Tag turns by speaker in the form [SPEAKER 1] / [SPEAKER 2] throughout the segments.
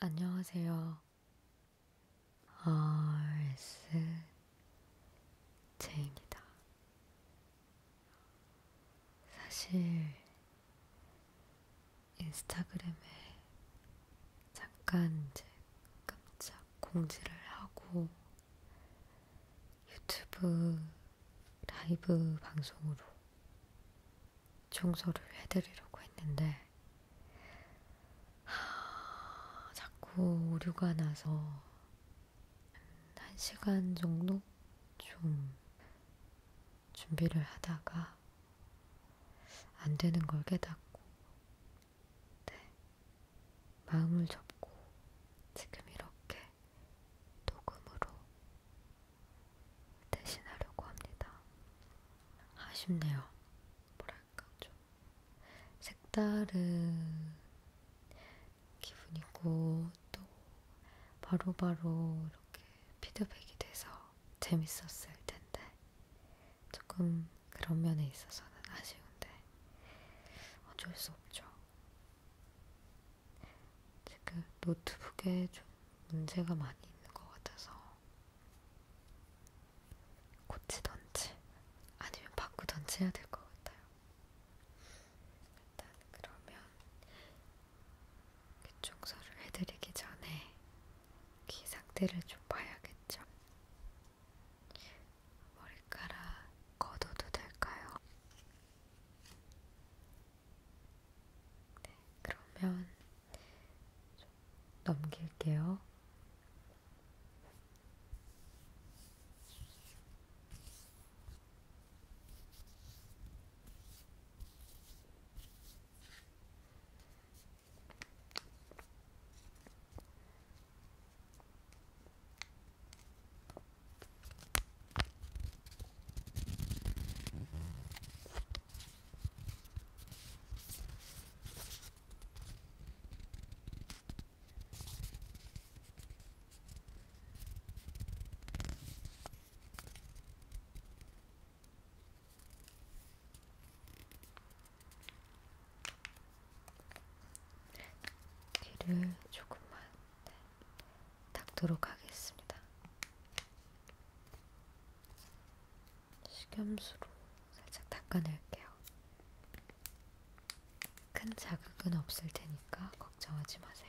[SPEAKER 1] 안녕하세요. RSJ입니다. 사실 인스타그램에 잠깐 이제 깜짝 공지를 하고 유튜브 라이브 방송으로 청소를 해드리려고 했는데 하, 자꾸 오류가 나서 한 시간 정도 좀 준비를 하다가 안 되는 걸 깨닫고 네, 마음을 접고 지금 이렇게 녹음으로 대신하려고 합니다. 아쉽네요. 뭐랄까 좀 색다른 기분이고 또 바로바로 이렇게 피드백이 돼서 재밌었을 텐데 조금 그런 면에 있어서는 아쉬운데 어쩔 수 없죠. 지금 노트북에 좀 문제가 많이 있는 것 같아서 고치던지 아니면 바꾸던지 해야 될 것 같아요. 일단 그러면 귀 청소를 해드리기 전에 귀 상태를 좀 봐야겠죠. 머리카락 걷어도 될까요? 네, 그러면 좀 넘길게요. 귀를 조금만 네. 닦도록 하겠습니다. 식염수로 살짝 닦아낼게요. 큰 자극은 없을 테니까 걱정하지 마세요.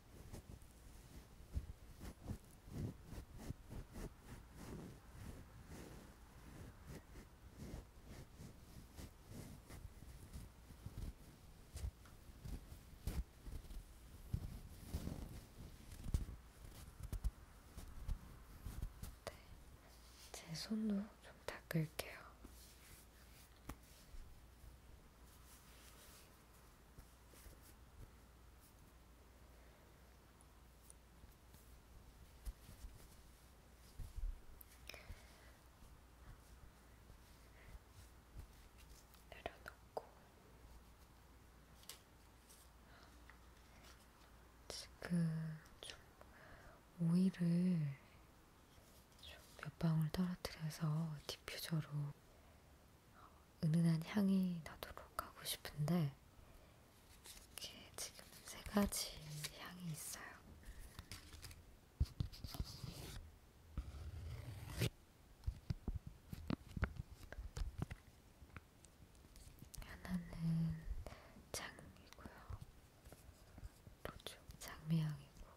[SPEAKER 1] 네, 제 손도 좀 닦을게요. 내려놓고 지금 좀 오일을 몇 방울 떨어뜨려서 디퓨저로 은은한 향이 나도록 하고 싶은데 이렇게 지금 세 가지 향이 있어요. 하나는 장미고요. 로즈 장미향이고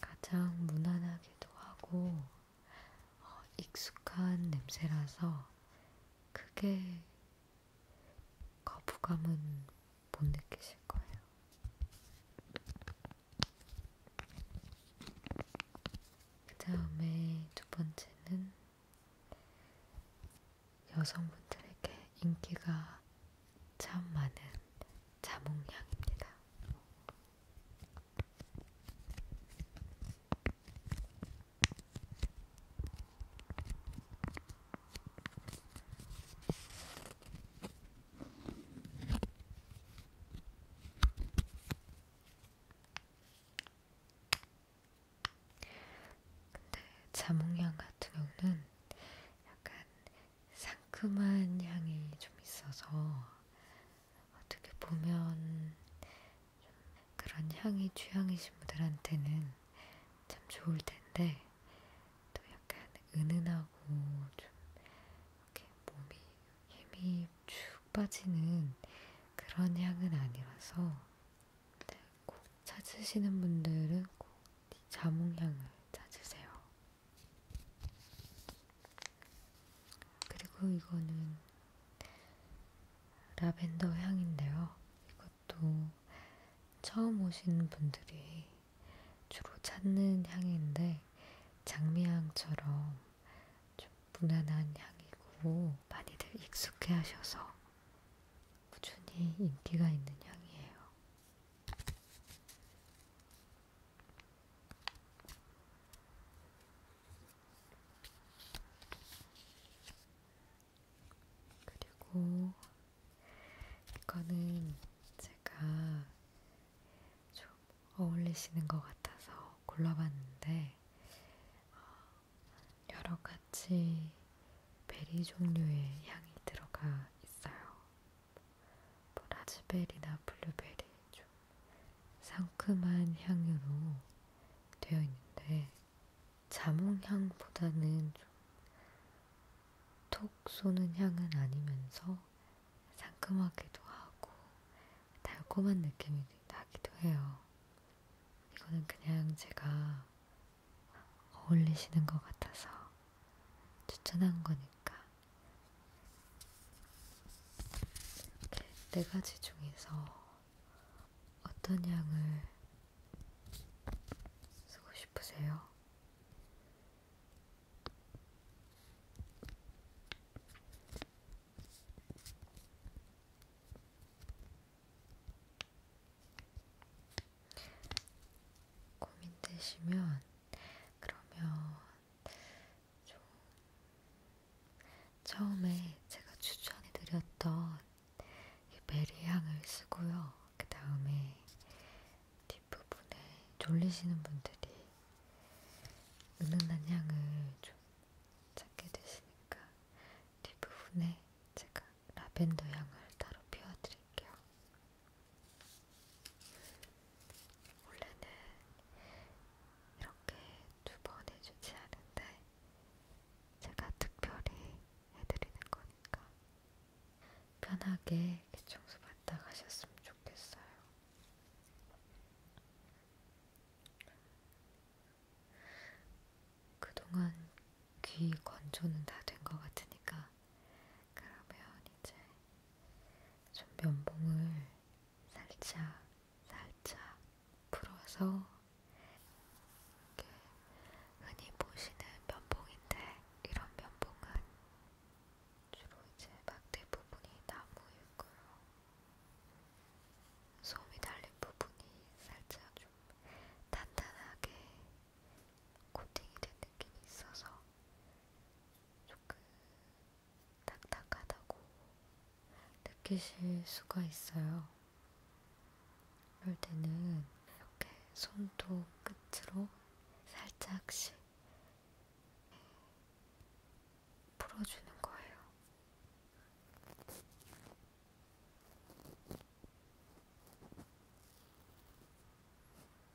[SPEAKER 1] 가장 무난하기도 하고 어, 익숙한 냄새라서 크게 거부감은 못 느끼실 거예요. 그 다음에 두 번째는 여성분들에게 인기가 참 많은 자몽향입니다. 근데 자몽향 같은 경우는 약간 상큼한 향이 좀 있어서 어떻게 보면 좀 그런 향이 취향이신 분들한테는 참 좋을 텐데 또 약간 은은하고 좀 이렇게 몸이 힘이 쭉 빠지는 그런 향은 아니라서 네, 꼭 찾으시는 분들은 꼭 자몽향을 찾으세요. 그리고 이거는 라벤더 향인데요. 이것도 처음 오시는 분들이 주로 찾는 향인데 장미향처럼 좀 무난한 향이고 많이들 익숙해 하셔서 꾸준히 인기가 있는 향이에요. 그리고 이거는 제가 좀 어울리시는 것 같아서 골라봤는데 어, 여러 가지 베리 종류의 향이 들어가 있어요. 라즈베리나 블루베리 좀 상큼한 향으로 되어 있는데 자몽향보다는 좀 톡 쏘는 향은 아니면서 상큼하기도 하고 달콤한 느낌이 나기도 해요. 이거는 그냥 제가 어울리시는 것 같아서 추천한 거니까 네 가지 중에서 어떤 향을 쓰고 싶으세요? 고민되시면 그러면 좀 처음에 제가 추천해드렸던 이 베리 향을 쓰고요. 그 다음에 뒷부분에 졸리시는 분들이 은은한 향을 좀 찾게 되시니까 뒷부분에 제가 라벤더 향을 따로 피워드릴게요. 원래는 이렇게 두 번 해주지 않은데 제가 특별히 해드리는 거니까 편하게 청소 받다 가셨으면 좋겠어요. 그동안 귀 건조는 다 된 것 같으니까 그러면 이제 좀 면봉을 살짝 살짝 풀어서 이렇게 흔히 보시는 면봉인데 이런 면봉은 주로 이제 막 대부분이 나무이고요. 솜이 달린 부분이 살짝 좀 단단하게 코팅이 된 느낌이 있어서 조금 딱딱하다고 느끼실 수가 있어요. 이럴 때는 이렇게 손톱 끝으로 살짝씩 풀어주는 거예요.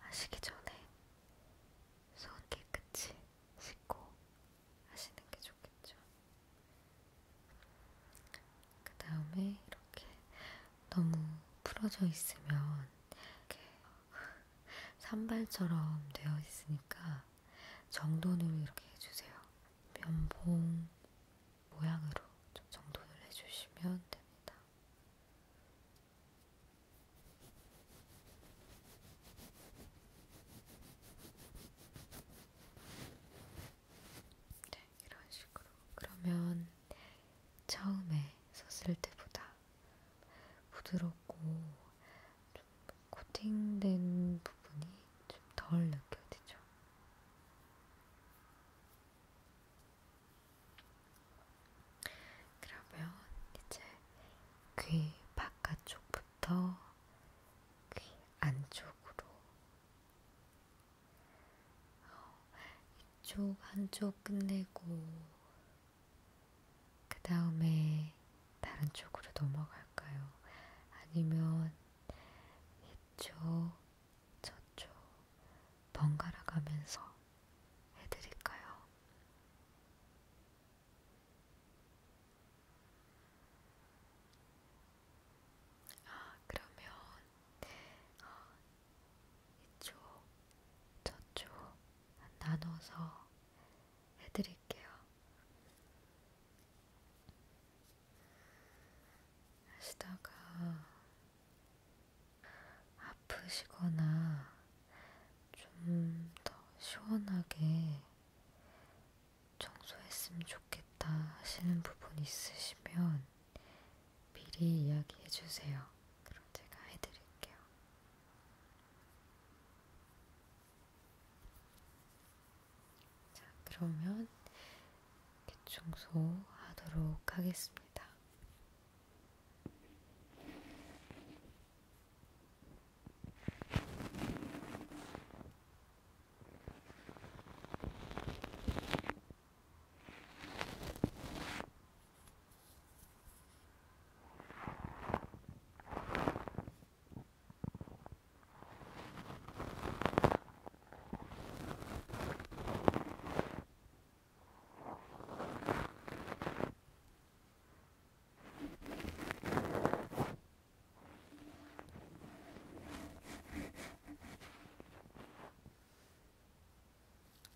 [SPEAKER 1] 하시기 전에 손 깨끗이 씻고 하시는 게 좋겠죠. 그 다음에 이렇게 너무 풀어져 있으면 이렇게 산발처럼 되어 있으니까 정돈으로 이렇게 해주세요. 면봉, 모양으로 좀 정돈을 해주시면 됩니다. 네, 이런 식으로. 그러면 처음에 썼을 때보다 부드럽고 좀 코팅된 부분이 좀 덜 느껴지죠. 그러면 이제 귀 바깥쪽부터 귀 안쪽으로 어, 이쪽 한쪽 끝내고 그 다음에 다른 쪽으로 넘어갈까요? 아니면 이쪽 저쪽 번갈아 가면서 해드릴까요? 아, 그러면 아, 이쪽, 저쪽 나눠서 해드릴게요. 하시다가 아프시거나 좀 더 시원하게 청소했으면 좋겠다 하시는 부분 있으시면 미리 이야기해 주세요. 그럼 제가 해드릴게요. 자, 그러면 청소하도록 하겠습니다. 자,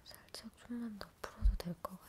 [SPEAKER 1] 살짝 좀만 더 풀어도 될 것 같아요.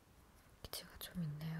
[SPEAKER 1] 기치가 좀 있네요.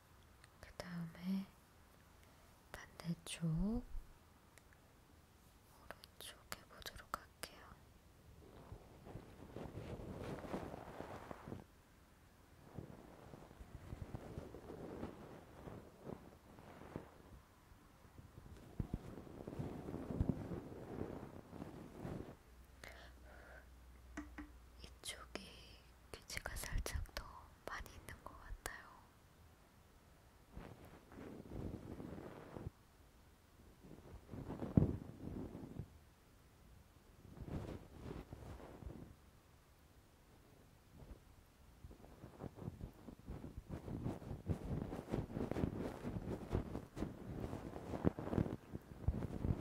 [SPEAKER 1] 그 다음에 반대쪽 오른쪽 해보도록 할게요. 이쪽이 귀지가 살짝 더 많이 있는 것 같아요.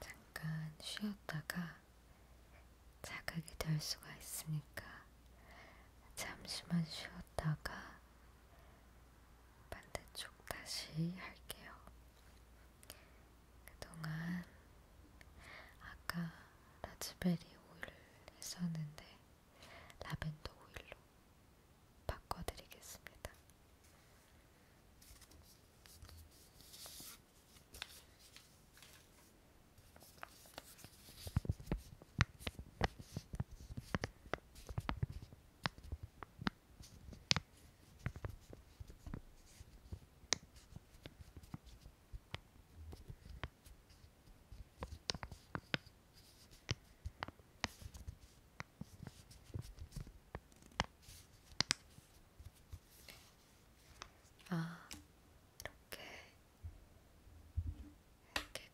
[SPEAKER 1] 잠깐 쉬었다가 자극이 될 수가 있으니까 잠시만 쉬었다가 반대쪽 다시 할게요. 그동안 아까 라즈베리 오일을 했었는데 라벤더 오일로 바꿔드리겠습니다. 아, 이렇게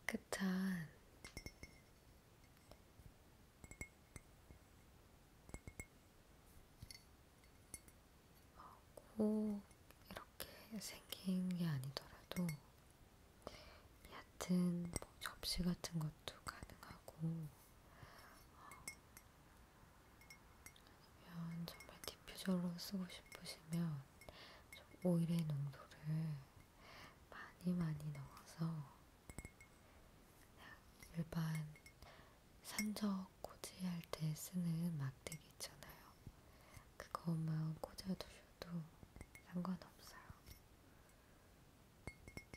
[SPEAKER 1] 깨끗한 꼭 이렇게 생긴 게 아니더라도 여튼 뭐 접시 같은 것도 가능하고 어, 아니면 정말 디퓨저로 쓰고 싶으시면 좀 오일의 농도를 많이 많이 넣어서 그냥 일반 산적 꼬지할 때 쓰는 막대기 있잖아요. 그것만 꽂아두시면 주셔도 상관없어요. 이렇게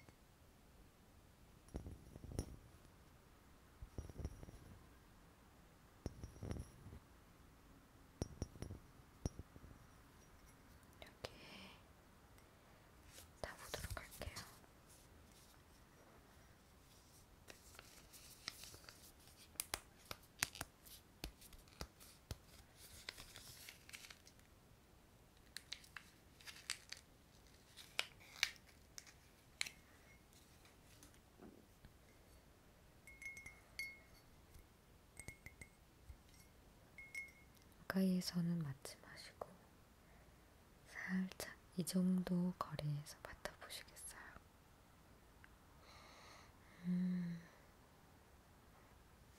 [SPEAKER 1] 다 보도록 할게요. 가까이에서는 맞지 마시고 살짝 이 정도 거리에서 맡아보시겠어요? 음,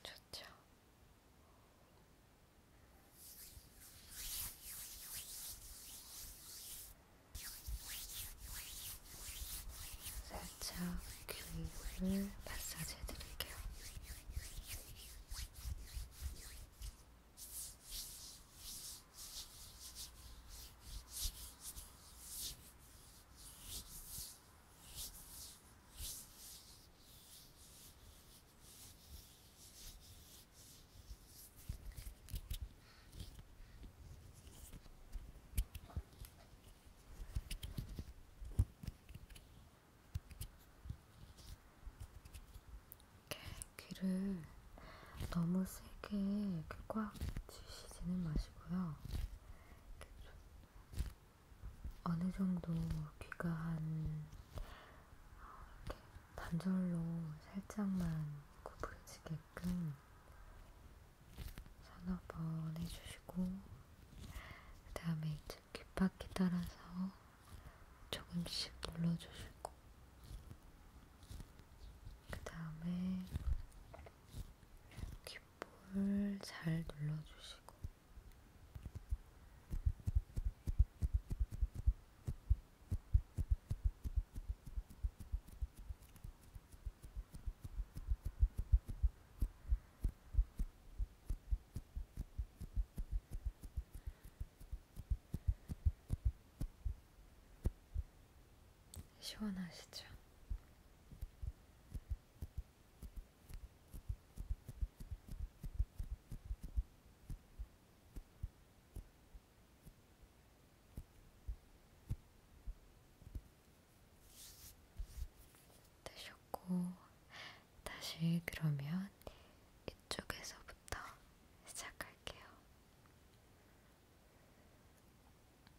[SPEAKER 1] 좋죠. 살짝 귀를 마사지 해드릴게요. 귀를 너무 세게 꽉 치시지는 마시고요. 어느 정도 귀가 한 이렇게 단절로 살짝만 구부러지게끔 서너 번 해주시고 그 다음에 이제 귓바퀴 따라서 조금씩 눌러주시고 그 다음에 귓 볼을 잘 눌러주시고 시원하시죠? 되셨고, 다시 그러면 이쪽에서부터 시작할게요.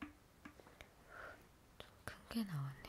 [SPEAKER 1] 좀큰게 나왔네요.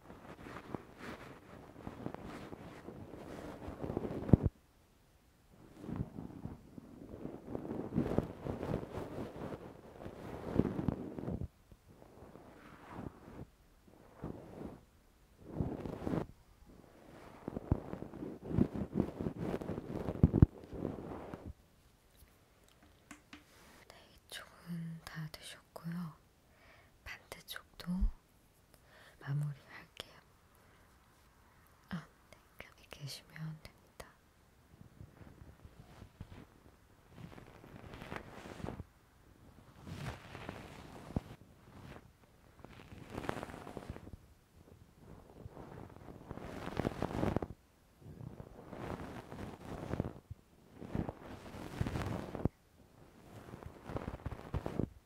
[SPEAKER 1] 네, 조금 다 되셨고요. 반대쪽도 마무리할게요. 아, 네. 여기 계시면 됩니다. 네,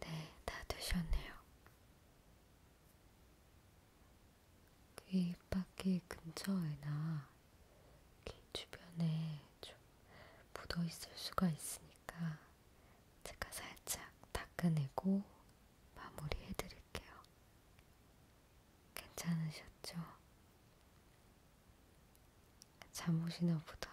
[SPEAKER 1] 네, 다 되셨네요. 그 입바퀴 근처에나 귀 주변에 좀 묻어있을 수가 있으니까 제가 살짝 닦아내고 마무리해드릴게요. 괜찮으셨죠? 잠 오시나 보다.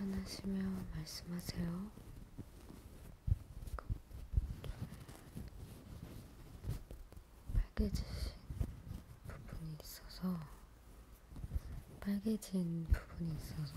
[SPEAKER 1] 불편하시면 말씀하세요. 빨개지신 그, 부분이 있어서 빨개진 부분이 있어서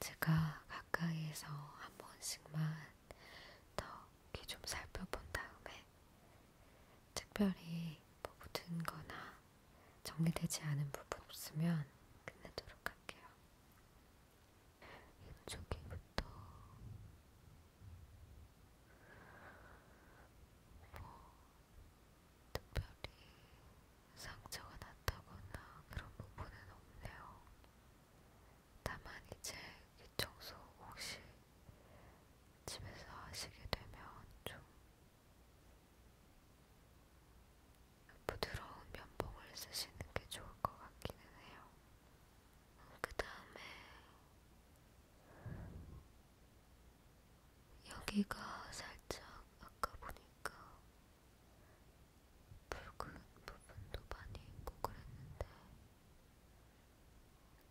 [SPEAKER 1] 제가 가까이에서 한 번씩만 더귀좀 살펴본 다음에 특별히 뭐 묻은 거나 정리되지 않은 부분 없으면 끝내도록 할게요. 이쪽에부터 뭐 특별히 상처가 났다거나 그런 부분은 없네요. 다만 이제 이 청소 혹시 집에서 하시게 되면 좀 부드러운 면봉을 쓰시는 게 좋을 것 같기는 해요. 그 다음에 여기가 살짝 아까 보니까 붉은 부분도 많이 있고 그랬는데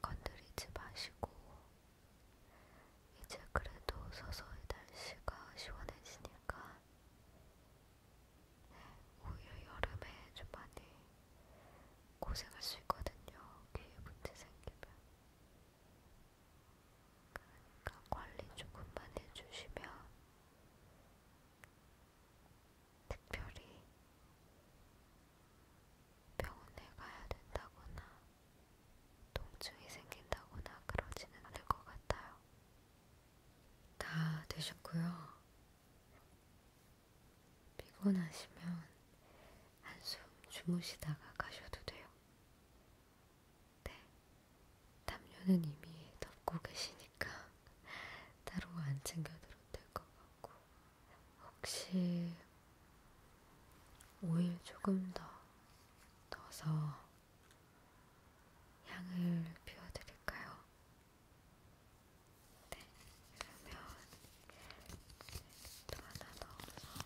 [SPEAKER 1] 건드리지 마시고 이제 그래도 서서히 날씨가 시원해지니까 네, 오히려 여름에 좀 많이 고생할 수 있거든요. 귀에 문제 생기면. 그러니까 관리 조금만 해주시면 특별히 병원에 가야 된다거나 통증이 생긴다거나 그러지는 않을 것 같아요. 다 되셨고요. 피곤하시면 한숨 주무시다가 가셔도 돼요. 네, 담요는 이미 덮고 계시니까 따로 안 챙겨드려도 될 것 같고 혹시 오일 조금 더 넣어서 향을 피워드릴까요? 네, 그러면 또 하나 넣어서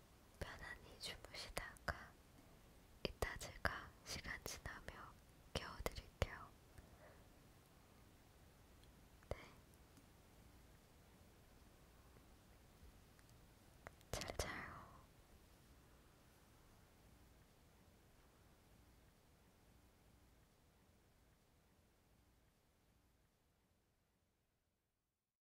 [SPEAKER 1] 편안히 주무시다가 이따 제가 시간 지나며 깨워드릴게요. 네. 잘 자요.